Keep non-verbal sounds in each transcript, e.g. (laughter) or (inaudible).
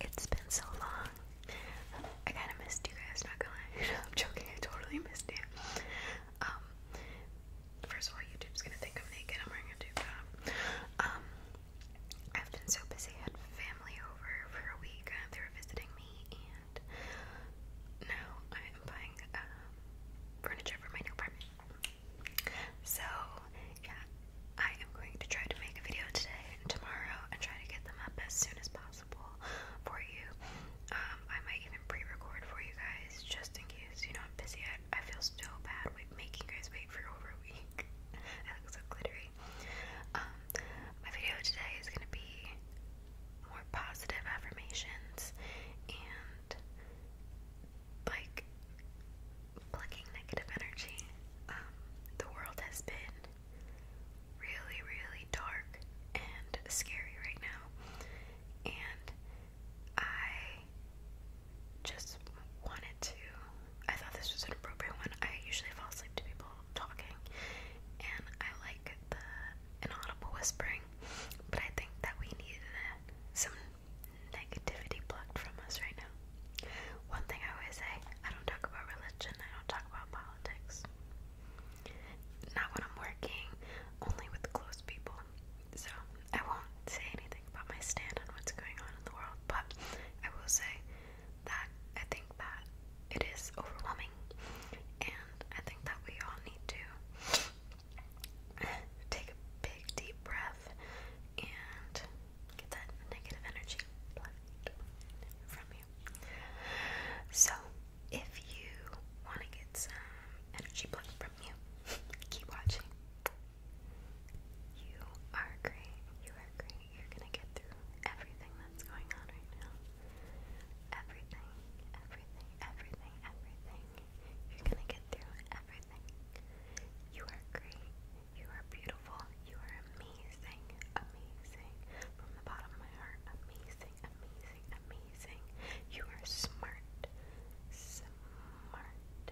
It's been so long. I kind of missed you guys, not gonna lie. (laughs) I'm joking, I totally missed you. Um, first of all, YouTube's gonna think I'm naked. I'm wearing a tube um, I've been so busy. I had family over for a week. Uh, they were visiting me, and now I am buying um, furniture for my new apartment. So, yeah, I am going to try to make a video today and tomorrow and try to get them up as soon as possible for you. Um, I might even pre record for you guys just in case. You know, I'm busy. I, I feel so bad with making you guys wait for over a week. I (laughs) look so glittery. Um, my video today is going to be more positive affirmations and like plucking negative energy. Um, the world has been really, really dark and scary right now, and I just wanted to. I thought this was an appropriate one. I usually fall asleep to people talking, and I like the inaudible whispering, but I think that we needed some negativity plucked from us right now. One thing I always say I don't talk about religion, I don't talk about politics. Not when I'm working, only with close people. So I won't say anything about my stand on what's going on in the world, but I will say that I think that it is overwhelming, and I think that we all need to take a big deep breath and get that negative energy from you. So, if you want to get some energy blocked from you, keep watching. You are great. You are great. You're gonna get through everything that's going on right now. Everything, everything, everything, everything. You're gonna get through everything. You are great. You are beautiful. You are amazing. Amazing. From the bottom of my heart. Amazing. Amazing. Amazing. You are smart. Smart.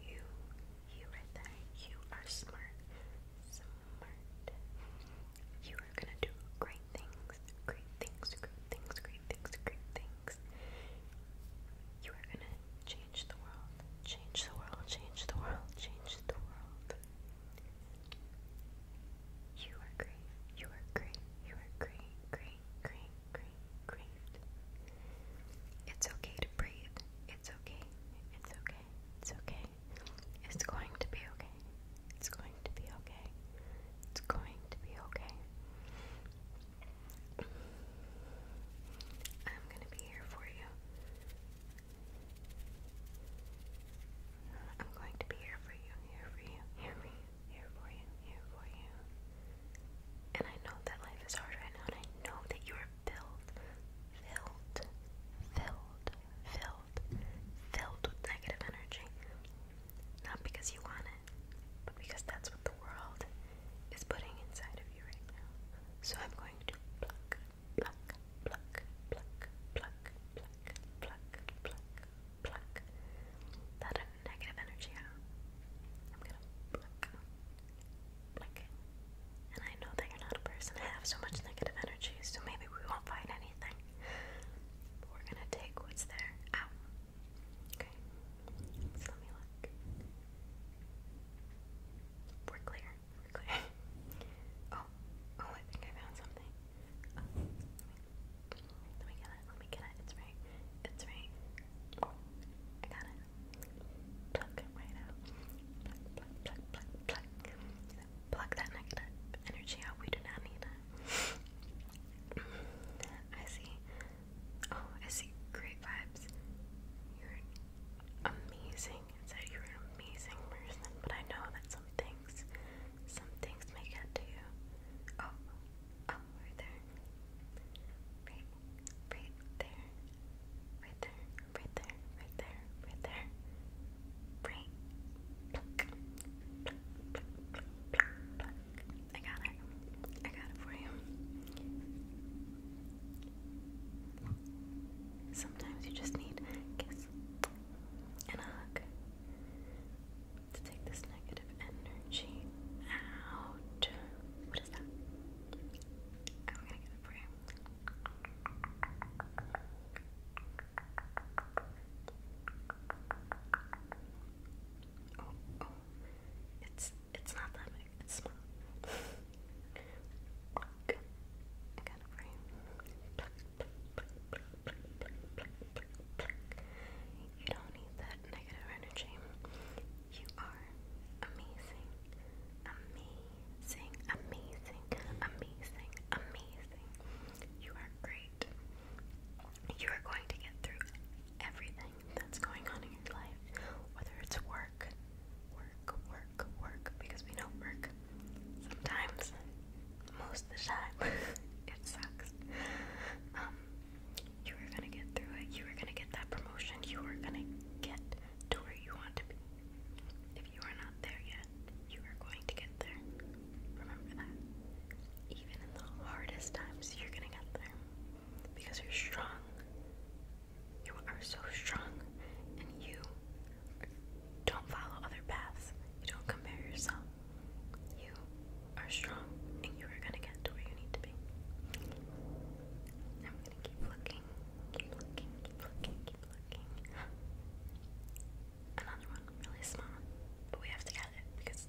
You. You right You are smart. Smart. You are gonna do great things. Great things. Great things. Great things. Great things. You are gonna change the world, change the world, change the world, change the world. You are great, you are great, you are great, great, great, great, great. It's okay to breathe. It's okay, it's okay, it's okay. It's going to be okay. It's going to be okay. It's going to be okay. I'm gonna be here for you. I'm going to be here for you, here for you, here for here for you, here for you. And I know that life is hard right now, and I know that you are filled, filled, filled, filled, filled with negative energy. Not because you want it, but because that's what the world is putting inside of you right now. So I'm going to pluck, pluck, pluck, pluck, pluck, pluck, pluck, pluck, pluck that negative energy out. I'm gonna pluck, pluck. And I know that you're not a person that have so much negative energy, so maybe we won't find anything. we're gonna take what's there out. Okay, so let me look. We're clear. We're clear. (laughs) Oh, oh, I think I found something. Oh. let, me, get it. Let me get it. It's right. It's right. I got it. Pluck right out. Pluck, pluck, pluck, pluck, pluck. Pluck that negative energy out. We do not need it. (laughs) I see. Oh, I see great vibes. You're amazing. said you're an amazing person, but I know that some things, some things may get to you. Oh, oh, right there. Right, right there. Right there, right there, right there, right I got it. I got it for you. Sometimes you just need a kiss and a hug to take this negative energy out. What is that? I'm gonna get it for oh, oh. It's it's not that big. It's small. (laughs) Look, you. You don't need that negative energy. You are amazing, amazing, amazing, amazing, amazing. You are great. You are going to get through everything that's going on in your life, whether it's work, work, work, work, because we know work sometimes, most of the time, (laughs) it sucks. Um, you are gonna get through it, you are gonna get that promotion, you are gonna get to where you want to be. If you are not there yet, you are going to get there. Remember that. Even in the hardest times, you're gonna get there because you're strong. You are so strong, and you don't follow other paths. You don't compare yourself. You are strong, and you are gonna get to where you need to be. I'm gonna keep looking, keep looking, keep looking, keep looking. Another one, really small, but we have to get it because.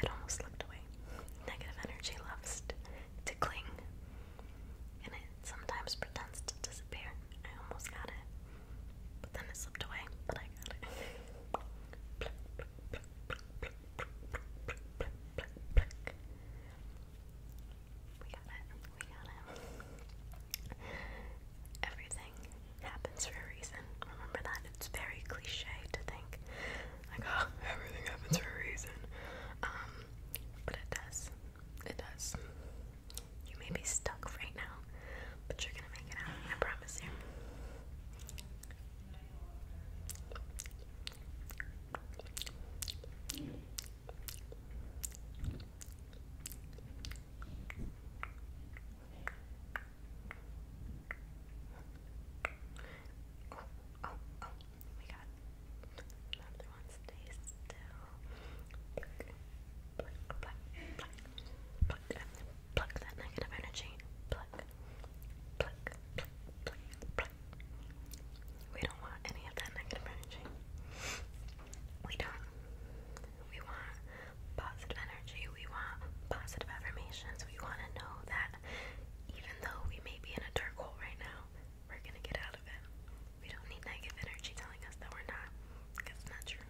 It almost slipped away. Negative energy loves to cling, and it sometimes pretends to disappear. I almost got it, but then it slipped away. But I got it. We got it. We got it. Everything happens for a reason. Remember that? It's very cliche to think, like, (laughs) everything happens for a reason. Um, but it does. It does. You may be stuck right now, but you're gonna make it out. I promise you. Oh, oh, oh, we got another one stays still. Pluck, pluck, pluck, pluck, pluck that negative energy. Pluck, pluck, pluck, pluck, pluck, we don't want any of that negative energy. We don't. We want positive energy. We want positive affirmations. We want to know that even though we may be in a dark hole right now, we're going to get out of it. We don't need negative energy telling us that we're not. That's not true.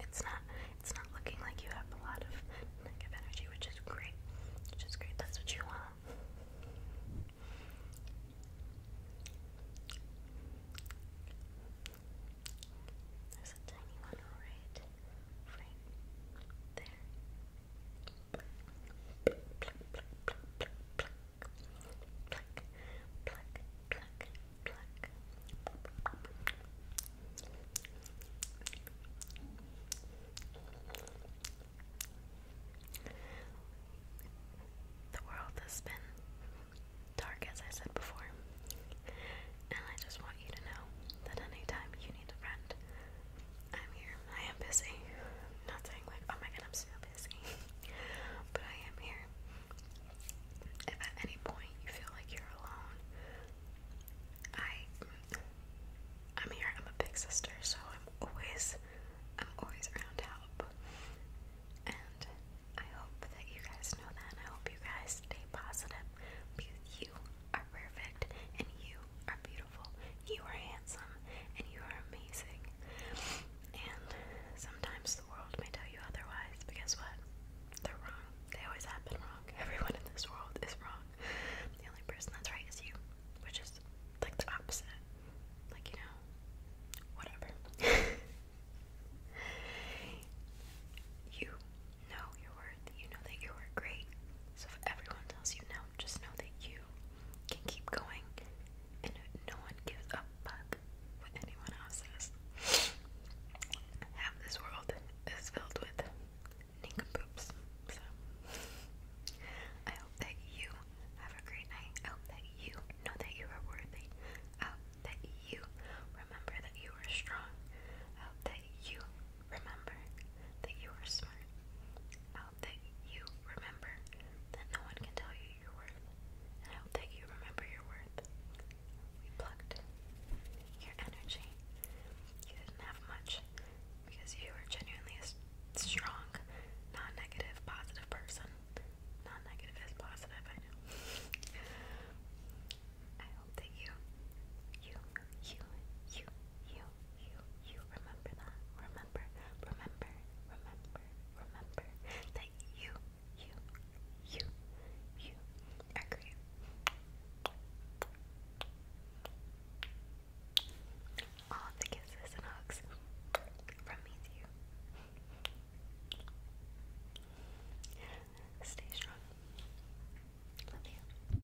It's not it's not looking like you have a lot of negative energy, which is great. Which is great. That's what you want. There's a tiny one right, there. The world has been dark, as I said before, and I just want you to know that anytime you need a friend, I'm here. I am busy. not saying like, oh my god, I'm so busy. (laughs) but I am here. If at any point you feel like you're alone, I I'm here. I'm a big sister, so I'm always I'm always around to help. And I hope that you guys know that. I hope you guys stay positive because you are perfect and you are beautiful you are handsome, and you are amazing. And sometimes the world may tell you otherwise, but guess what? They're wrong. They always have been wrong. (laughs) Everyone in this world is wrong. The only person that's right is you, which is like the opposite. Like, you know, whatever. (laughs) you know your worth. You know that you are great. So if everyone tells you no, just know that you can keep going and no one gives a fuck what anyone else says. Half this world is filled with nincompoops. So I hope that you have a great night. I hope that you know that you are worthy. I hope that you remember that you are strong. I hope that you Remember that you are smart. I hope that you remember that no one can tell you your worth. And I hope that you remember your worth. We plucked your energy. You didn't have much because you are genuinely a strong, non negative, positive person. Non negative is positive, I know. (laughs) I hope that you, you, you, you, you you, you remember that. Remember, remember, remember, remember that you, you, you, you are All the kisses and hugs from me to you. Stay strong. Love you.